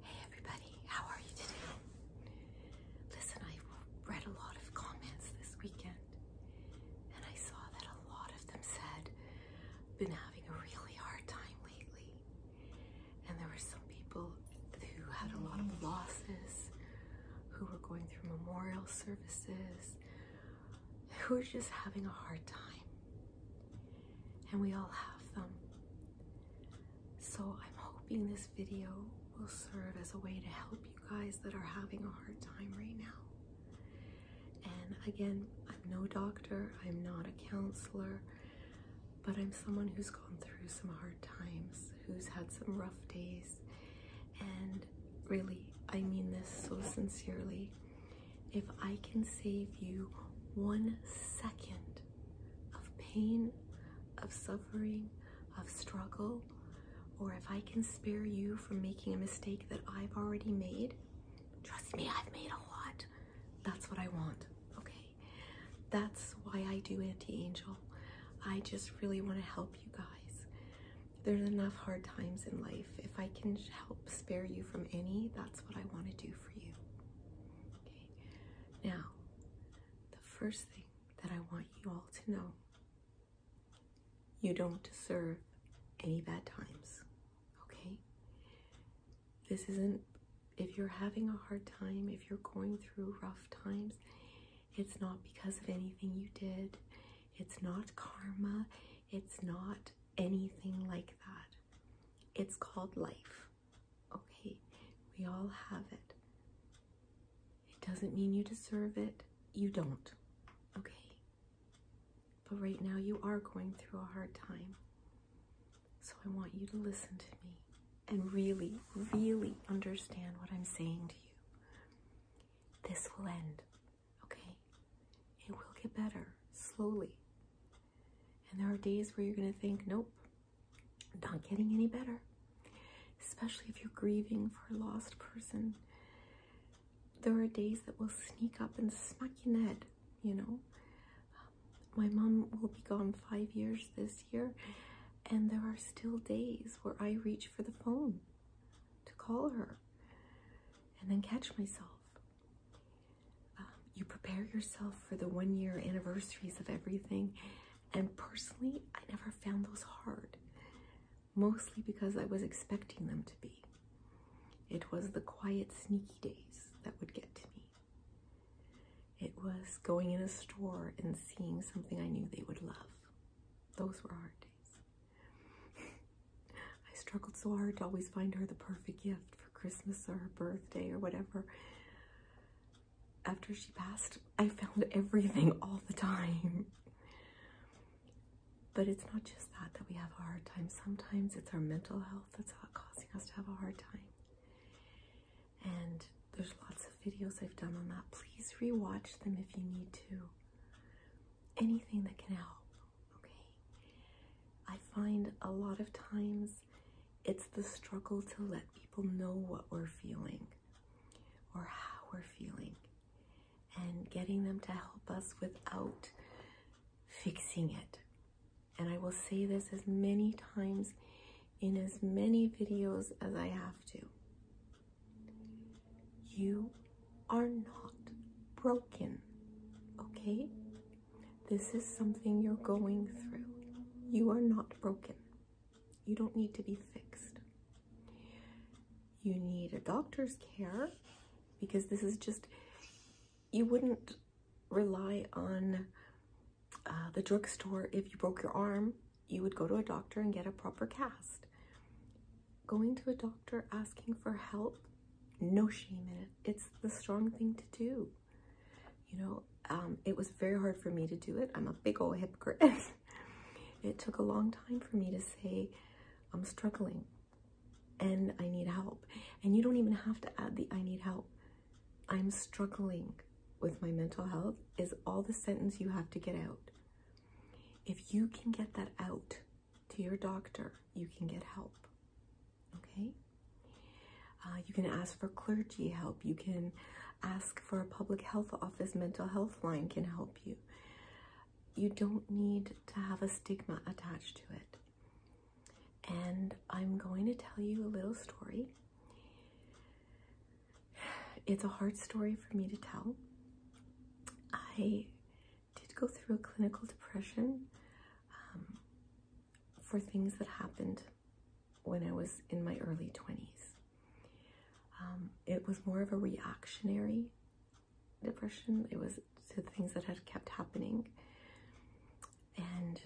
Hey everybody, how are you today? Listen, I read a lot of comments this weekend and I saw that a lot of them said, been having a really hard time lately. And there were some people who had a lot of losses, who were going through memorial services, who were just having a hard time and we all have them. So I'm hoping this video will serve as a way to help you guys that are having a hard time right now. And again, I'm no doctor, I'm not a counselor, but I'm someone who's gone through some hard times, who's had some rough days, and really, I mean this so sincerely if I can save you one second of pain, of suffering, of struggle, or if I can spare you from making a mistake that I've already made, trust me, I've made a lot. That's what I want, okay? That's why I do Anti Angel. I just really want to help you guys. There's enough hard times in life. If I can help spare you from any, that's what I want to do for you. Okay. Now, the first thing that I want you all to know you don't deserve any bad times. Okay? This isn't, if you're having a hard time, if you're going through rough times, it's not because of anything you did. It's not karma. It's not anything like that. It's called life. Okay, we all have it. It doesn't mean you deserve it. You don't. Okay. But right now you are going through a hard time. So I want you to listen to me and really, really understand what I'm saying to you. This will end. Okay? It will get better slowly. And there are days where you're going to think, nope, not getting any better. Especially if you're grieving for a lost person. There are days that will sneak up and smack you your head, you know. my mom will be gone five years this year, and there are still days where I reach for the phone to call her and then catch myself. Um, you prepare yourself for the one year anniversaries of everything, and personally, I never found those hard, mostly because I was expecting them to be. It was the quiet, sneaky days that would get to me. It was going in a store and seeing something I knew they would love. Those were hard days. I struggled so hard to always find her the perfect gift for Christmas or her birthday or whatever. After she passed, I found everything all the time. But it's not just that that we have a hard time. Sometimes it's our mental health that's causing us to have a hard time. And there's lots of videos I've done on that. Please rewatch them if you need to anything that can help, okay? I find a lot of times it's the struggle to let people know what we're feeling or how we're feeling and getting them to help us without fixing it. And I will say this as many times in as many videos as I have to. You are not broken, okay? This is something you're going through. You are not broken. You don't need to be fixed. You need a doctor's care because this is just, you wouldn't rely on uh, the drugstore if you broke your arm. You would go to a doctor and get a proper cast going to a doctor asking for help no shame in it it's the strong thing to do you know um, it was very hard for me to do it i'm a big old hypocrite it took a long time for me to say i'm struggling and i need help and you don't even have to add the i need help i'm struggling with my mental health is all the sentence you have to get out if you can get that out to your doctor, you can get help. Okay? Uh, you can ask for clergy help. You can ask for a public health office, mental health line can help you. You don't need to have a stigma attached to it. And I'm going to tell you a little story. It's a hard story for me to tell. I did go through a clinical depression um, for things that happened when I was in my early 20s. Um, it was more of a reactionary depression, it was to things that had kept happening. And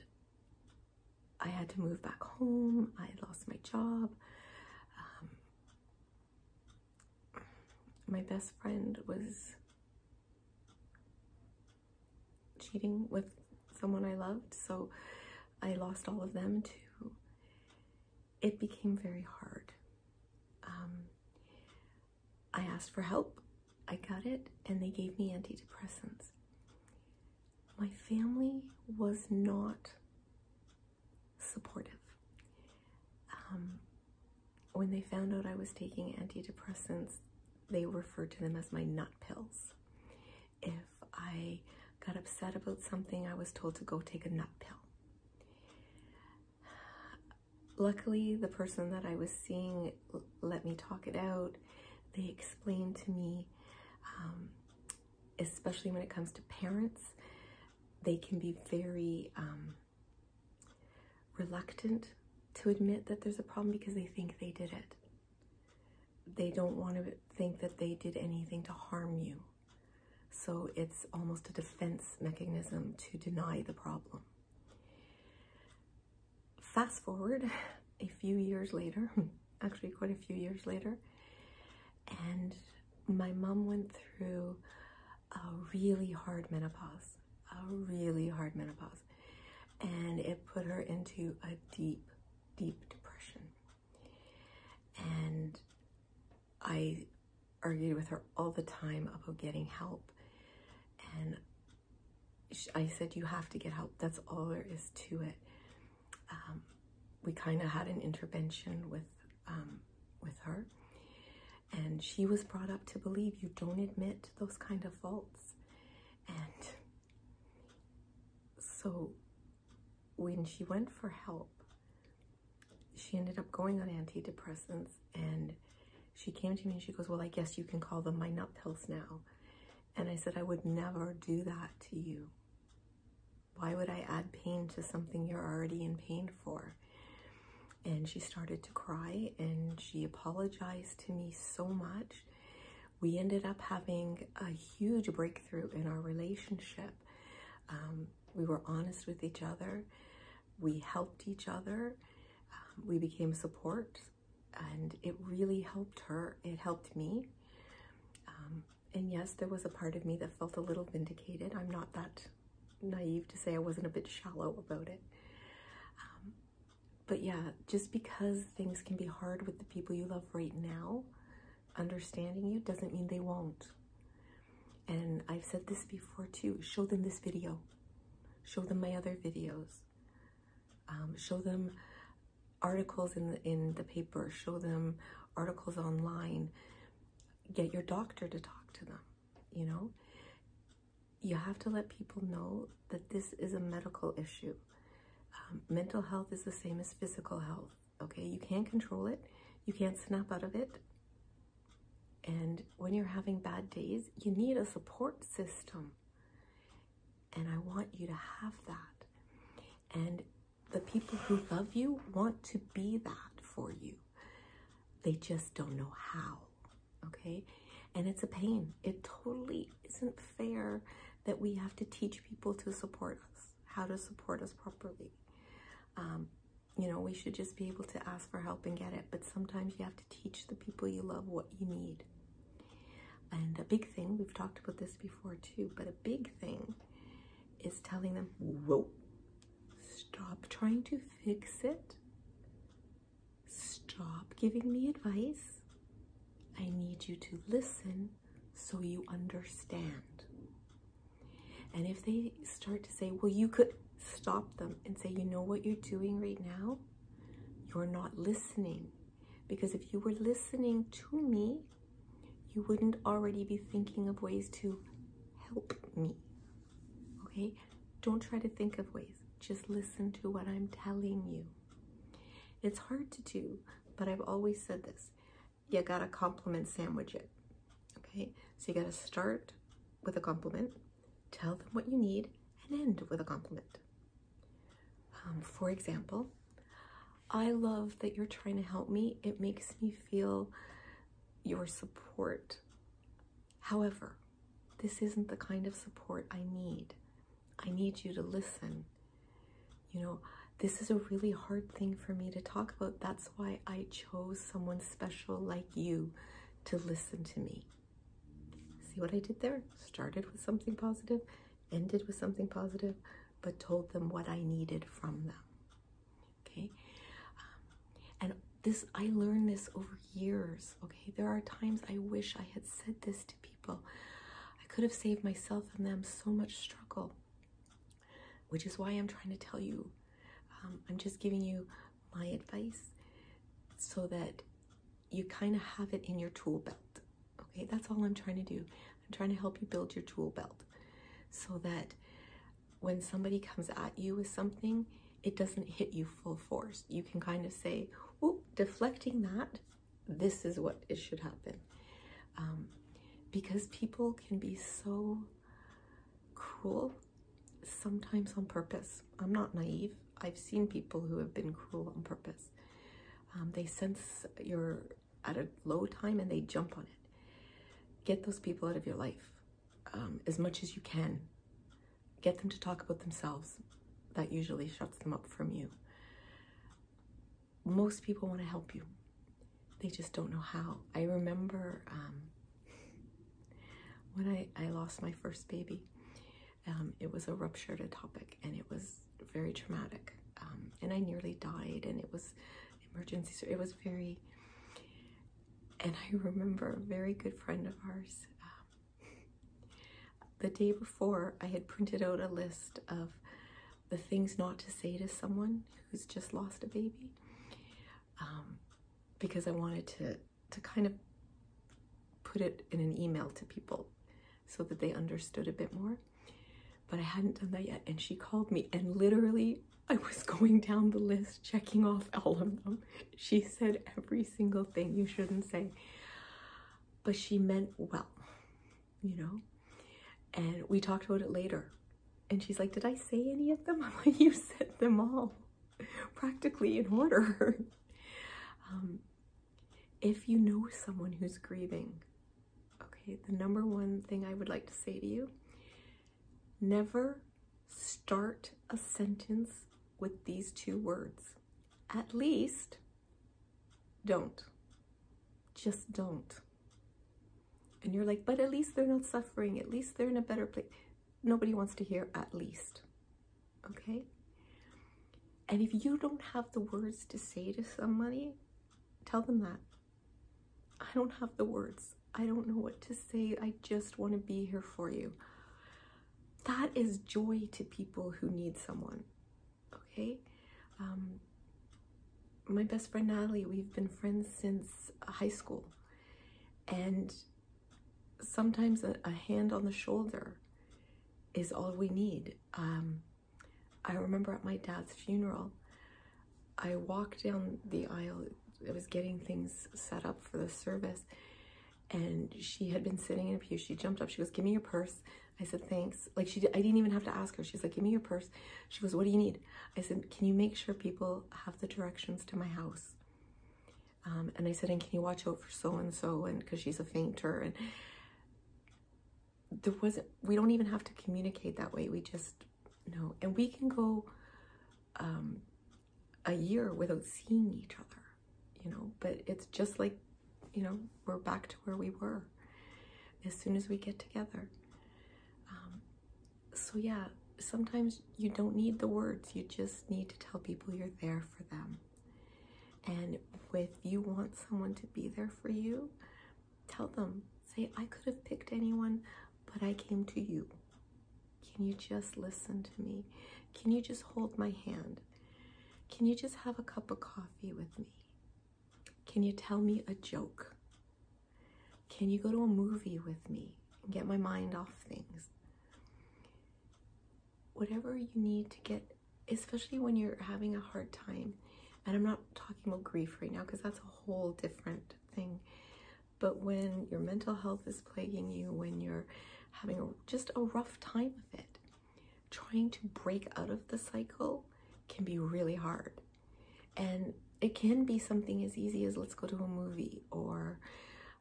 I had to move back home, I lost my job. Um, my best friend was cheating with someone I loved, so I lost all of them too. It became very hard. Um, I asked for help, I got it, and they gave me antidepressants. My family was not supportive. Um, when they found out I was taking antidepressants, they referred to them as my nut pills. If I got upset about something, I was told to go take a nut pill. Luckily, the person that I was seeing let me talk it out. They explained to me um, especially when it comes to parents, they can be very um, reluctant to admit that there's a problem because they think they did it. They don't want to think that they did anything to harm you. So it's almost a defense mechanism to deny the problem. Fast forward a few years later, actually quite a few years later. And my mom went through a really hard menopause, a really hard menopause. And it put her into a deep, deep depression. And I argued with her all the time about getting help. And I said, You have to get help. That's all there is to it. Um, we kind of had an intervention with um, with her, and she was brought up to believe you don't admit those kind of faults, and so when she went for help, she ended up going on antidepressants, and she came to me and she goes, "Well, I guess you can call them my nut pills now," and I said, "I would never do that to you." Why would I add pain to something you're already in pain for? And she started to cry and she apologized to me so much. We ended up having a huge breakthrough in our relationship. Um, we were honest with each other. We helped each other. Um, we became support and it really helped her. It helped me. Um, and yes, there was a part of me that felt a little vindicated. I'm not that naive to say I wasn't a bit shallow about it. Um, but yeah, just because things can be hard with the people you love right now, understanding you doesn't mean they won't. And I've said this before too show them this video, show them my other videos, um, show them articles in the, in the paper. Show them articles online. Get your doctor to talk to them. You know, you have to let people know that this is a medical issue. Um, mental health is the same as physical health. Okay, you can't control it. You can't snap out of it. And when you're having bad days, you need a support system. And I want you to have that. And the people who love you want to be that for you. They just don't know how. Okay? And it's a pain. It totally isn't fair that we have to teach people to support us, how to support us properly. Um, you know, we should just be able to ask for help and get it. But sometimes you have to teach the people you love what you need. And a big thing, we've talked about this before too, but a big thing is telling them, whoa, stop trying to fix it. Stop giving me advice. I need you to listen so you understand. And if they start to say, well, you could stop them and say, you know what you're doing right now? You're not listening. Because if you were listening to me, you wouldn't already be thinking of ways to help me. Okay? Don't try to think of ways, just listen to what I'm telling you. It's hard to do, but I've always said this you gotta compliment sandwich it. Okay? So you gotta start with a compliment, tell them what you need, and end with a compliment. Um, for example, I love that you're trying to help me. It makes me feel your support. However, this isn't the kind of support I need. I need you to listen. You know, this is a really hard thing for me to talk about. That's why I chose someone special like you to listen to me. See what I did there? Started with something positive, ended with something positive, but told them what I needed from them. Okay? Um, and this, I learned this over years. Okay? There are times I wish I had said this to people. I could have saved myself and them so much struggle, which is why I'm trying to tell you. Um, I'm just giving you my advice so that you kind of have it in your tool belt. Okay, that's all I'm trying to do. I'm trying to help you build your tool belt so that when somebody comes at you with something, it doesn't hit you full force. You can kind of say, oh, deflecting that, this is what it should happen. Um, because people can be so cruel, sometimes on purpose. I'm not naive. I've seen people who have been cruel on purpose. Um, they sense you're at a low time and they jump on it. Get those people out of your life um, as much as you can. Get them to talk about themselves. That usually shuts them up from you. Most people want to help you. They just don't know how. I remember um, when I, I lost my first baby um, it was a ruptured atopic and it was very traumatic. Um, and I nearly died and it was emergency. So it was very, and I remember a very good friend of ours, um, the day before I had printed out a list of the things not to say to someone who's just lost a baby. because I wanted to to kind of put it in an email to people so that they understood a bit more. But I hadn't done that yet. And she called me and literally I was going down the list, checking off all of them. She said every single thing you shouldn't say. But she meant well, you know? And we talked about it later. And she's like, did I say any of them? I'm like, you said them all practically in order. Um, if you know someone who's grieving, okay, the number one thing I would like to say to you never start a sentence with these two words. At least, don't. Just don't. And you're like, but at least they're not suffering. At least they're in a better place nobody wants to hear at least. Okay? And if you don't have the words to say to somebody, tell them that. I don't have the words. I don't know what to say. I just want to be here for you. That is joy to people who need someone. Okay? Um, my best friend Natalie, we've been friends since high school. And sometimes a, hand on the shoulder is all we need. Um, I remember at my dad's funeral, I walked down the aisle. I was getting things set up for the service, and she had been sitting in a pew. She jumped up. She goes, "Give me your purse." I said, "Thanks." Like she, I didn't even have to ask her. She's like, "Give me your purse." She goes, "What do you need?" I said, "Can you make sure people have the directions to my house?" Um, and I said, and can you watch out for so-and-so? And because she's a fainter and there wasn't, we don't even have to communicate that way. We just know. And we can go um, a year without seeing each other, you know, but it's just like, you know, we're back to where we were as soon as we get together. Um, so yeah, sometimes you don't need the words, you just need to tell people you're there for them. And if you want someone to be there for you, tell them, say, I could have picked anyone, but I came to you. Can you just listen to me? Can you just hold my hand? Can you just have a cup of coffee with me? Can you tell me a joke? Can you go to a movie with me and get my mind off things? Whatever you need to get, especially when you're having a hard time, and I'm not talking about grief right now because that's a whole different thing, but when your mental health is plaguing you, when you're having just a rough time of it, trying to break out of the cycle can be really hard. And it can be something as easy as let's go to a movie or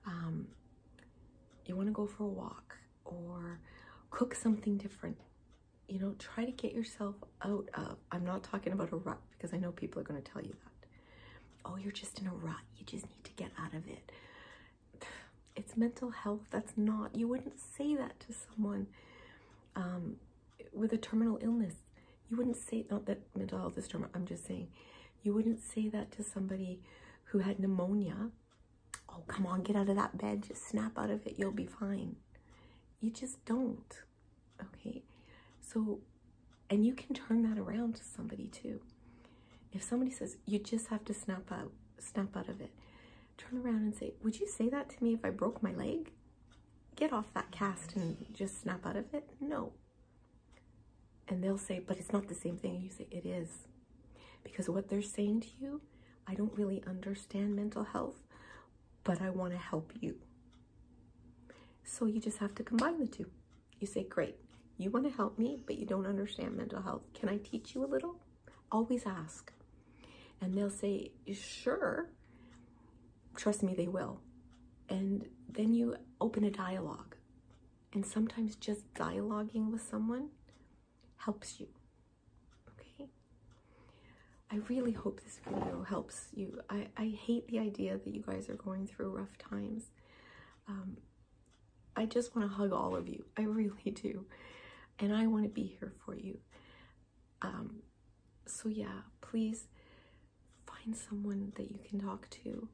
um, you want to go for a walk or cook something different you know try to get yourself out of i'm not talking about a rut because i know people are going to tell you that oh you're just in a rut you just need to get out of it it's mental health that's not you wouldn't say that to someone um, with a terminal illness you wouldn't say not that mental health is trauma i'm just saying you wouldn't say that to somebody who had pneumonia oh come on get out of that bed just snap out of it you'll be fine you just don't okay so and you can turn that around to somebody too if somebody says you just have to snap out snap out of it turn around and say would you say that to me if i broke my leg get off that cast and just snap out of it no and they'll say, but it's not the same thing. you say, it is. Because what they're saying to you, I don't really understand mental health, but I want to help you. So you just have to combine the two. You say, great, you want to help me, but you don't understand mental health. Can I teach you a little? Always ask. And they'll say, sure. Trust me, they will. And then you open a dialogue. And sometimes just dialoguing with someone helps you. Okay? I really hope this video helps you. I, I hate the idea that you guys are going through rough times. Um, I just want to hug all of you. I really do. And I want to be here for you. Um, so yeah, please find someone that you can talk to.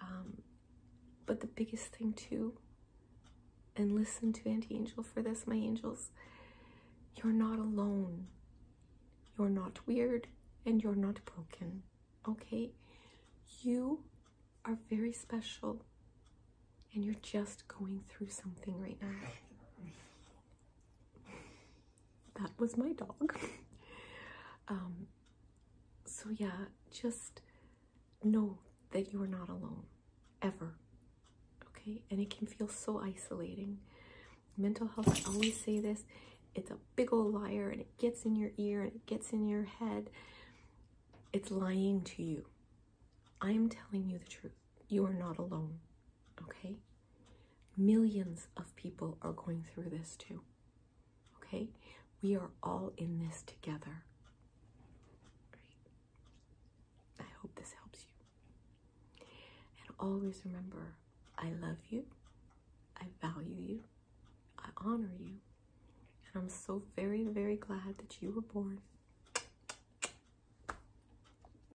Um, but the biggest thing too, and listen to Auntie Angel for this, my angels, you're not alone. You're not weird and you're not broken, okay? You are very special and you're just going through something right now. that was my dog. Um, so, yeah, just know that you are not alone ever. Okay, and it can feel so isolating. Mental health, I always say this it's a big old liar and it gets in your ear and it gets in your head. It's lying to you. I am telling you the truth you are not alone, okay? Millions of people are going through this too, okay? We are all in this together. Right? I hope this helps you. And always remember I love you, I value you, I honor you, and I'm so very, very glad that you were born.